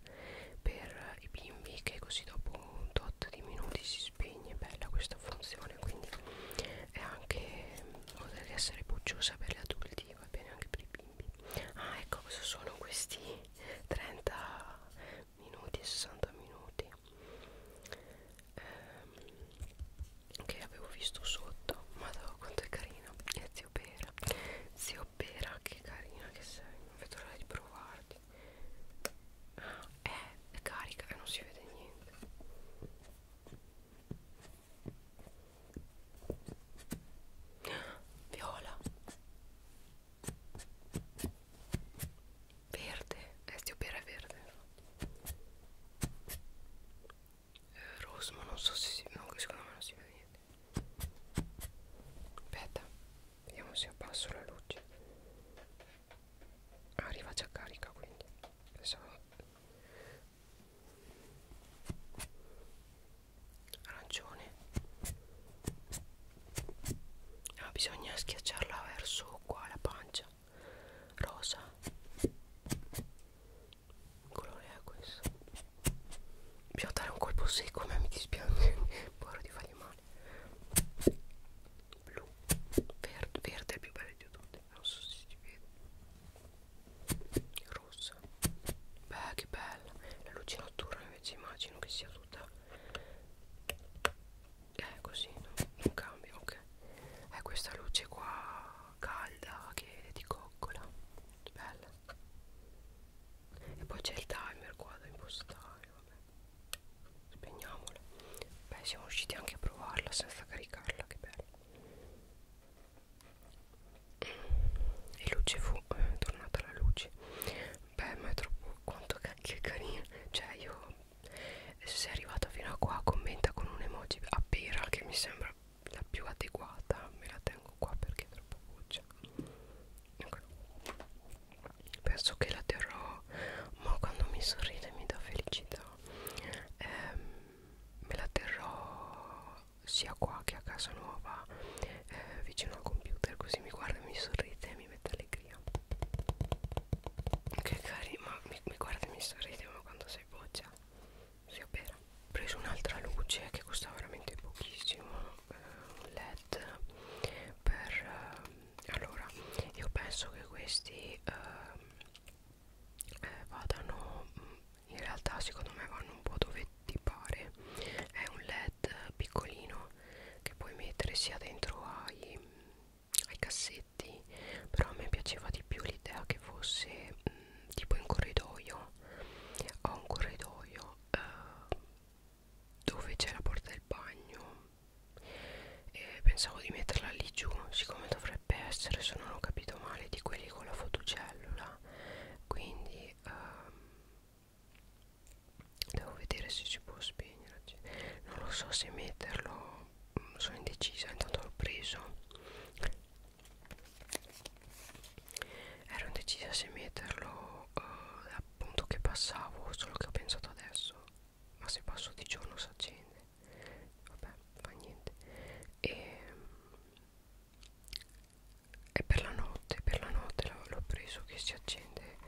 per i bimbi che così dopo un tot di minuti si spegne bella questa funzione quindi è anche oltre che essere pucciosa per gli adulti sì va bene anche per i bimbi ah ecco cosa sono questi 30 minuti 60 minuti ehm, che avevo visto sotto ma quanto è carino e zio pera zio pera che carina che sei non vedo l'ora di provarti ah, è, eh, è carica e eh, non si vede niente viola verde eh, stiopera è verde eh, rosso ma non so se si no, secondo me non si vede niente aspetta vediamo se abbasso la luce arriva già carica quindi pensavo arancione ah, bisogna schiacciarla verso qua la pancia rosa il colore è questo bisogna dare un colpo secco ma mi dispiace paura [laughs] di fargli male blu verde, verde è il più bello di tutti non so se si vede rossa beh che bella la luce notturna invece immagino che sia tutta eh così no? non cambia ok è eh, questa luce qua calda che è di coccola bella e poi c'è il timer qua da impostare vabbè spegniamola beh siamo riusciti anche a provarla senza caricarla che bello e luce fu eh, tornata la luce beh ma è troppo quanto cacchio è carina cioè io se eh, sei arrivata fino a qua commenta con un emoji a pera che mi sembra la più adeguata me la tengo qua perché è troppo buccia okay. Ecco. penso che la terrò ma quando mi sorride mi dà felicità eh, me la terrò sia qua che a casa nuova eh, vicino al computer così mi guarda e mi sorride e mi mette allegria che carino ma mi, mi guarda e mi sorride ma quando sei boccia si opera ho preso un'altra luce che costa veramente pochissimo eh, un led per eh, allora io penso che questi eh, eh, vadano mm, in realtà secondo me vanno un po' dove ti pare è un led piccolino che puoi mettere sia dentro ai, ai cassetti però a me piaceva di più l'idea che fosse mh, mm, tipo in corridoio ho un corridoio eh, dove c'è la porta del bagno e pensavo di metterla lì giù siccome dovrei dovrebbe essere se non ho capito male di quelli con la fotocellula quindi um, devo vedere se si può spegnere non lo so se metterlo mm, sono indecisa intanto l'ho preso ero indecisa se metterlo uh, appunto che passavo solo che ho pensato adesso ma se passo di giorno si accende vabbè fa niente e ehm, è per la notte per la notte l'ho preso che si accende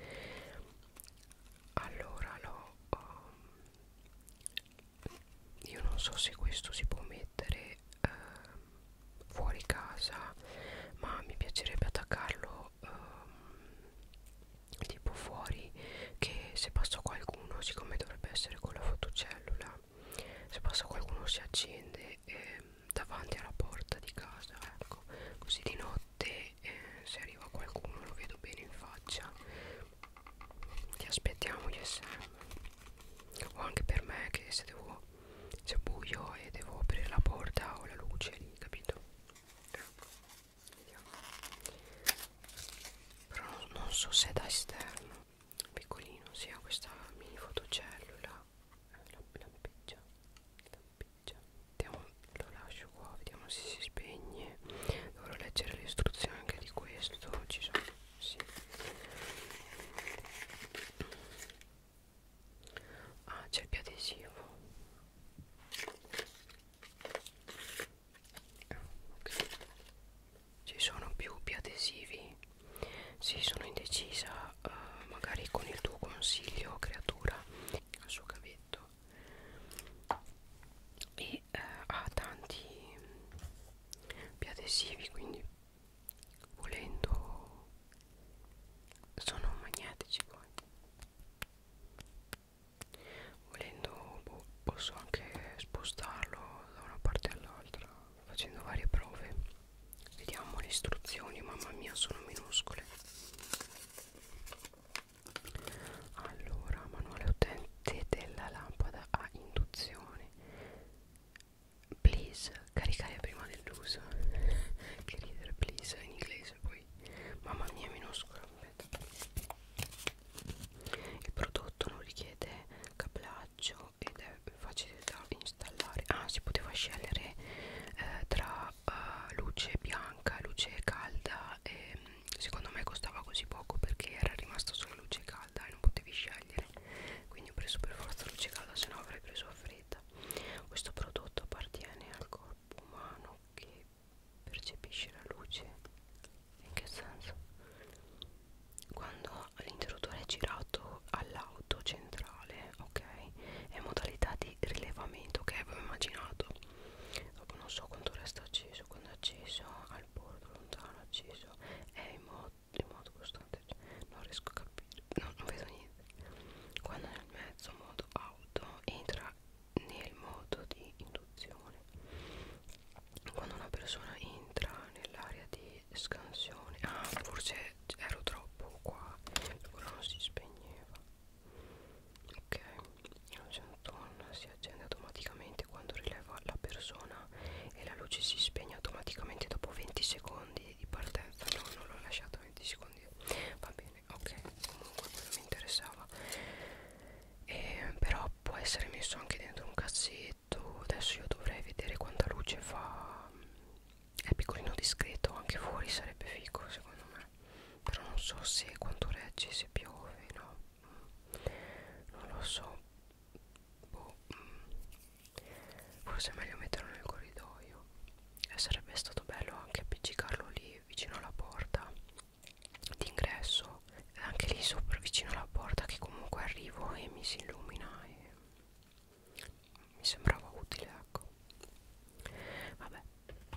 allora l'ho um, io non so se questo si può mettere um, fuori casa ma mi piacerebbe attaccarlo um, tipo fuori che se passa qualcuno siccome dovrebbe essere con la fotocellula se passa qualcuno si accende eh, davanti alla porta di casa ecco così di notte eh, se arriva qualcuno lo vedo bene in faccia ti aspettiamo ISM o anche per me che se devo se è buio e devo aprire la porta o la luce lì capito ecco vediamo però non so se è da esterno piccolino si ha questa mini fotocellula lampeggia lampeggia vediamo lo lascio qua vediamo se si spegne dovrò leggere le istruzioni anche di questo ci sono sì. ah c'è il piadesivo ah, okay ci sono più biadesivi sì sono indecisa eh, magari con il tuo consiglio creatura al suo cavetto e eh, ha tanti biadesivi quindi volendo sono magnetici poi volendo boh, posso anche spostarlo da una parte all'altra facendo varie prove vediamo le istruzioni mamma mia sono minuscole allora manuale utente della lampada a induzione please caricare prima dell'uso [laughs] che ridere please in inglese poi mamma mia minuscola il prodotto non richiede cablaggio nuovo ed è facile da installare ah si poteva scegliere eh, tra eh, luce bianca luce calda e secondo me costava così poco perché era rimasta solo luce calda e non potevi scegliere quindi ho preso per forza luce calda se no avrei preso a fredda questo prodotto appartiene al corpo umano che percepisce la luce in che senso? Quando l'interruttore è girato all'auto centrale, ok? È modalità di rilevamento che avevo immaginato. Dopo non so quanto resta acceso, quando è acceso, al bordo lontano acceso, è in modo, in modo costante, cioè, non riesco a capire, no, non vedo niente. Quando nel mezzo modo auto entra nel modo di induzione quando una persona entra nell'area di scansione ah forse ero troppo qua però non si spegneva ok la centonna si accende automaticamente quando rileva la persona e la luce si spegne automaticamente dopo 20 secondi di partenza no non l'ho lasciata 20 secondi va bene ok comunque quello mi interessava e, però può essere messo anche dentro un cassetto detto adesso io dovrei vedere quanta luce fa è piccolino discreto anche fuori sarebbe figo secondo me però non so se quanto regge se piove no non lo so boh. forse è meglio metterlo nel corridoio e eh, sarebbe stato bello anche appiccicarlo lì vicino alla porta d'ingresso anche lì sopra vicino alla porta che comunque arrivo e mi si illumina e mi sembrava utile ecco vabbè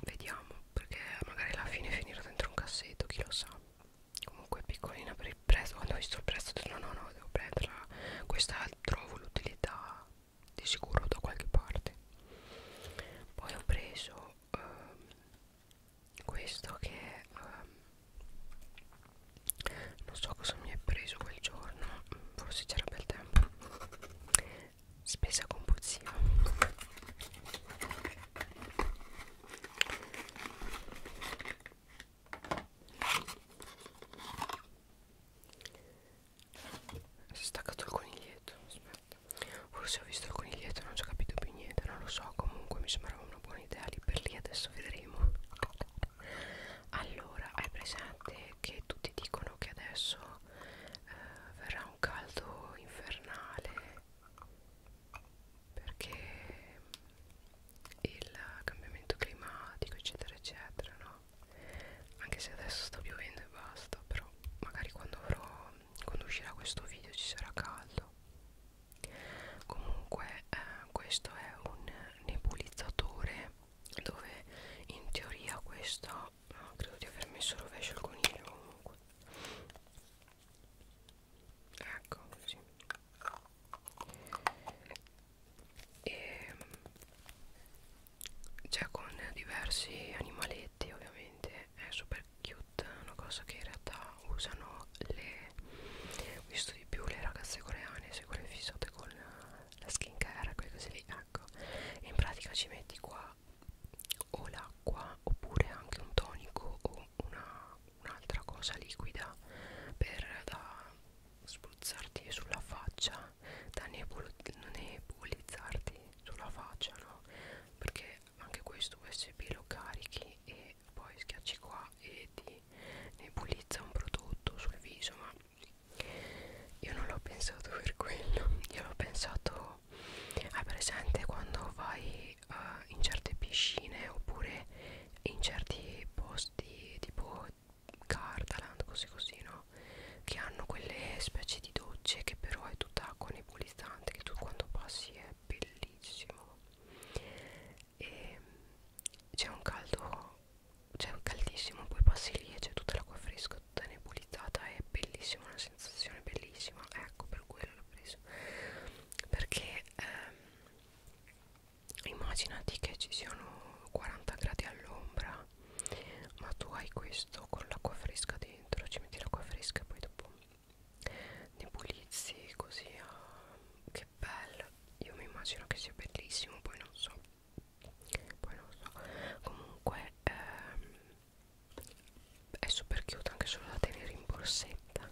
vediamo perché magari alla fine finirà dentro un cassetto chi lo sa comunque piccolina per il prezzo quando ho visto il prezzo ho detto no no no devo prenderla questa trovo l'utilità di sicuro da qualche parte poi ho preso ehm, questo che um, non so cosa mi è preso quel giorno forse c'era bel tempo spesa con puzzia si è staccato il coniglietto aspetta forse ho visto il coniglietto non ci ho capito più niente non lo so comunque mi sembrava una buona con i ideali per lì adesso vedremo allora hai presente che tutti dicono che adesso eh, verrà un caldo infernale perché il cambiamento climatico eccetera eccetera no anche se adesso sta piovendo e basta però magari quando avrò quando uscirà questo video ci sarà caldo comunque eh, questo è un nebulizzatore dove in teoria questo no, credo di aver messo rovescio il coniglio comunque ecco così e ehm, c'è cioè, con diversi animaletti ovviamente è super cute una cosa che in realtà usano le ho visto di più le ragazze coreane se quelle fissate con la skin care quelle cose lì ecco e in pratica ci metti qua o l'acqua oppure anche un tonico o un'altra un cosa liquida per da spruzzarti sulla faccia da nebul nebulizzarti sulla faccia no perché anche questo usb lo carichi e poi schiacci qua e ti nebulizza un prodotto sul viso ma io non l'ho pensato per quello io l'ho pensato hai presente quando vai uh, in certe piscine oppure in certi posti tipo Gardaland così così no che hanno quelle specie di docce che però è tutta acqua nebulizzante che tu quando passi è bellissimo e c'è un caldo c'è un caldissimo poi passi lì e c'è tutta l'acqua fresca tutta nebulizzata è bellissima una sensazione bellissima ecco per quello l'ho preso perché ehm, immaginati che ci siano 40 gradi all'ombra ma tu hai questo con l'acqua fresca dentro ci metti l'acqua fresca e poi dopo ne pulizzi così ah, che bello io mi immagino che sia bellissimo poi non so poi non so comunque ehm, è super cute anche solo da tenere in borsetta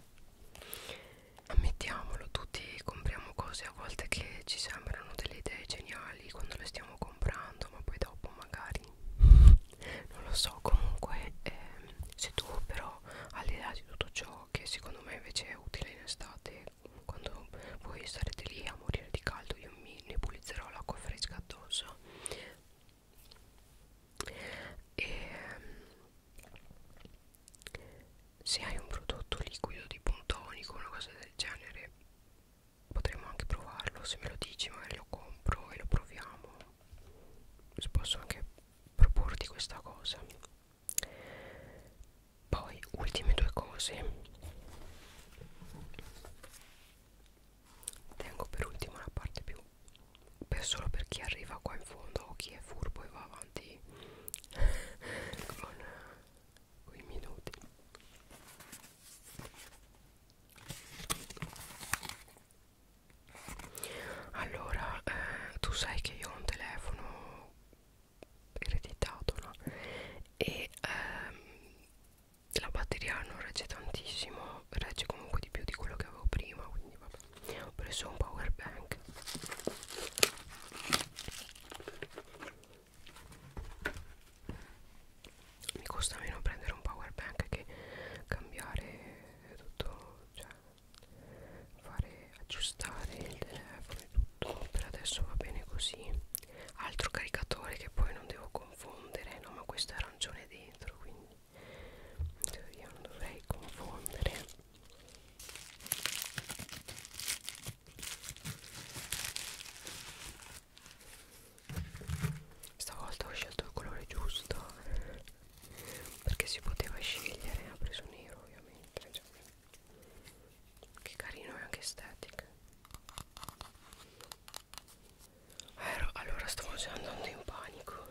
ammettiamolo tutti compriamo cose a volte che ci sembrano delle idee geniali quando le stiamo comprando ma poi dopo magari non lo so comunque ehm, se tu però all'idea di tutto ciò però che secondo me invece è utile in estate quando voi sarete lì a morire di caldo io mi nebulizzerò l'acqua fresca addosso e ehm, se hai un prodotto liquido tipo un tonico una cosa del genere potremmo anche provarlo se me lo dici magari lo compro e lo proviamo posso anche proporti questa cosa poi ultime due cose tengo per ultima la parte più per solo per chi arriva qua in fondo o chi è furbo e va avanti [laughs] con quei minuti allora eh, tu sai che io ho un telefono ereditato no? e ehm, la batteria non regge tantissimo regge comunque di più di quello che avevo prima quindi vabbè ho preso un power bank mi costa meno prendere un power bank che cambiare tutto cioè fare aggiustare il telefono e tutto per adesso va bene così altro caricatore che poi non devo confondere no ma questo è arancione dentro quindi in teoria non dovrei confondere stavolta ho scelto il colore giusto perché si poteva scegliere ha preso nero ovviamente cioè, che carino e anche estetica allora stavo già andando in panico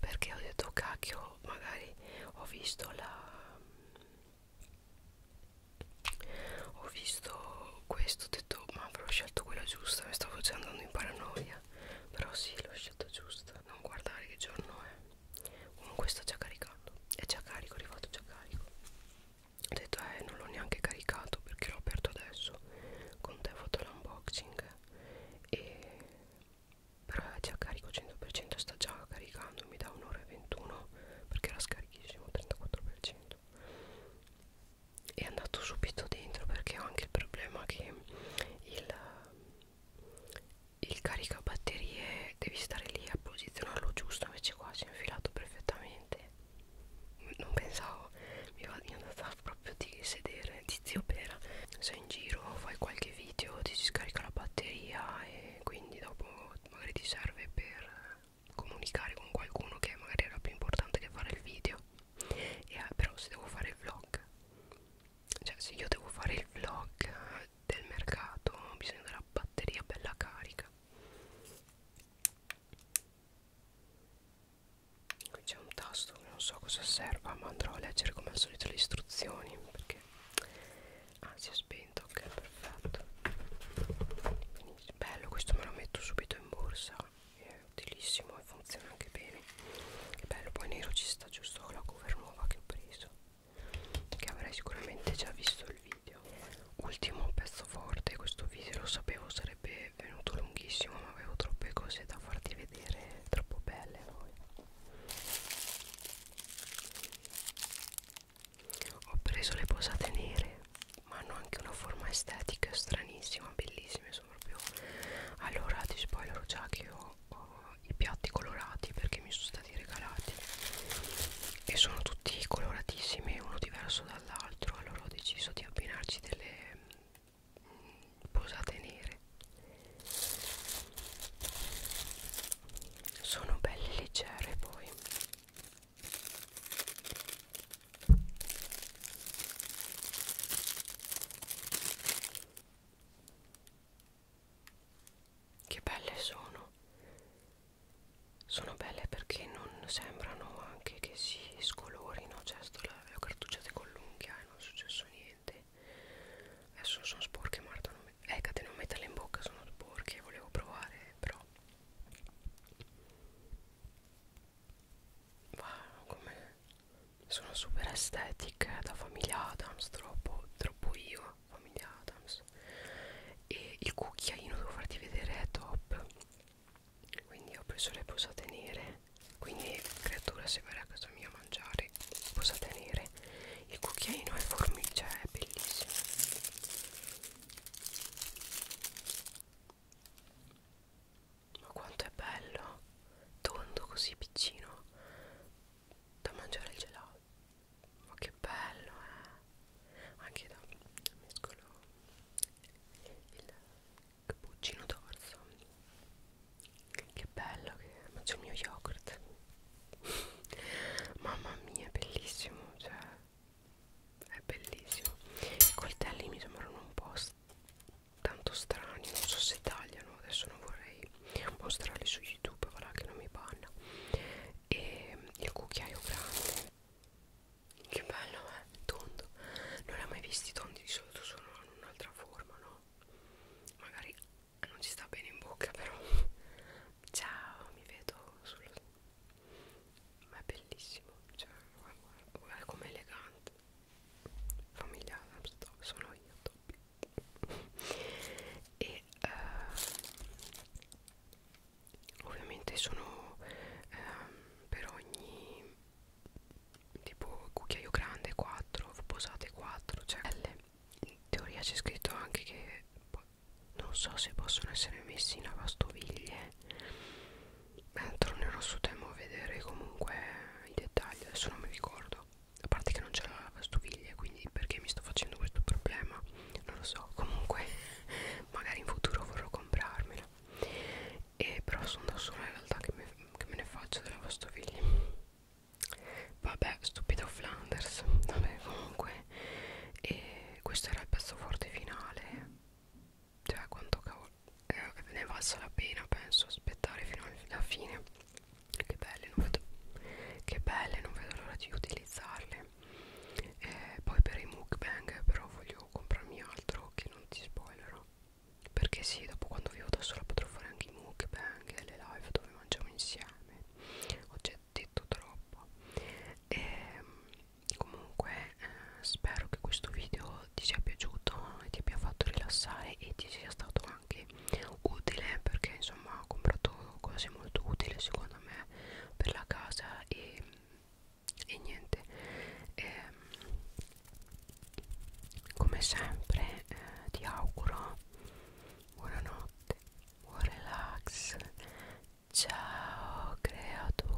perché ho detto cacchio magari ho visto la ho visto questo ho detto ma avrò scelto quella giusta mi stavo già andando in paranoia però sì l'ho scelta giusta non guardare che giorno è comunque sta già caricando è già carico è arrivato già carico ho detto eh non l'ho neanche caricato perché l'ho aperto adesso con te ho fatto l'unboxing e però è già carico 100% sta già caricando mi dà un'ora e 21 perché era scarichissimo 34% è andato subito dentro perché ho anche il problema che il il caricabatterie devi stare lì a posizionarlo giusto invece qua si è infilato perfettamente non pensavo mi, va, mi è andata proprio di sedere di zio pera sei in giro fai qualche video ti si scarica la batteria e quindi dopo magari ti serve per comunicare con qualcuno che magari era più importante che fare il video e, eh, però se devo fare il vlog cioè se io devo fare il vlog del mercato bisogna della batteria bella carica qui c'è un tasto che non so cosa serva ma andrò a leggere come al solito le istruzioni perché ah si è spento ok perfetto Benissimo. bello questo me lo metto subito in borsa è utilissimo e funziona anche bene che bello poi nero ci sta giusto la cover nuova che ho preso che avrai sicuramente già visto il video ultimo pezzo forte questo video lo sapevo sarebbe venuto lunghissimo ma avevo troppe cose da farti vedere troppo belle noi. ho preso le posate nere ma hanno anche una forma estetica stranissima bellissime sono proprio allora ti spoilerò già che ho, ho i piatti colorati perché mi sono stati regalati e sono tutti coloratissimi uno diverso dall'altro allora ho deciso di abbinarci delle mm, posate nere sono belle leggere poi che belle sono sono belle perché non sembrano anche che si scolorino cioè sto la, le ho cartucciate con l'unghia e non è successo niente adesso sono sporche Marta non me, eh cade non metterle in bocca sono sporche volevo provare però va come sono super aesthetic da famiglia Adams troppo, troppo io famiglia Adams e il cucchiaino devo farti vedere è top quindi ho preso le posate nere quindi creatura se verrà a casa mia a mangiare posate nere il cucchiaino è formice è bellissimo ma quanto è bello tondo così piccino da mangiare il gelato ma che bello eh anche da mescolo il cappuccino d'orso che bello che mangio il mio yogurt [laughs] mamma mia è bellissimo cioè è bellissimo i coltelli mi sembrano un po' tanto strani non so se tagliano adesso non vorrei mostrarli su youtube voilà che non mi panna e il cucchiaio grande che bello eh tondo non l'ho mai visti tondi di solito sono in un'altra forma no magari non ci sta bene in bocca però ciao mi vedo sullo ma è bellissimo cioè guarda, guarda com'è elegante famiglia Armstrong sono io Toby e uh, ovviamente sono uh, per ogni tipo cucchiaio grande 4 posate 4 cioè in teoria c'è scritto anche che non so se possono essere messi in lavastoviglie eh, tornerò su temo a vedere comunque i dettagli adesso non mi ricordo a parte che non c'era la lavastoviglie quindi perché mi sto facendo questo problema non lo so comunque [laughs] magari in futuro vorrò comprarmela e però sono da sola in realtà che me, che me ne faccio della lavastoviglie vabbè stupido Flanders vabbè comunque e questo era il pezzo forte finale cioè quanto cavolo eh, ne è valsa la pena penso aspettare fino alla fine che belle non vedo, che belle, non vedo l'ora di utilizzarle eh, poi per i mukbang però voglio comprarmi altro che non ti spoilerò perché sì dopo quando vivo da sola potrò fare anche i mukbang e le live dove mangiamo insieme ho già detto troppo e ehm, comunque eh, spero che questo video ti sia piaciuto e ti abbia fatto rilassare e ti sia stato anche utile perché insomma ho comprato cose molto utili secondo me per la casa e, e niente e, ehm, come sempre eh, ti auguro buonanotte buon relax ciao creatura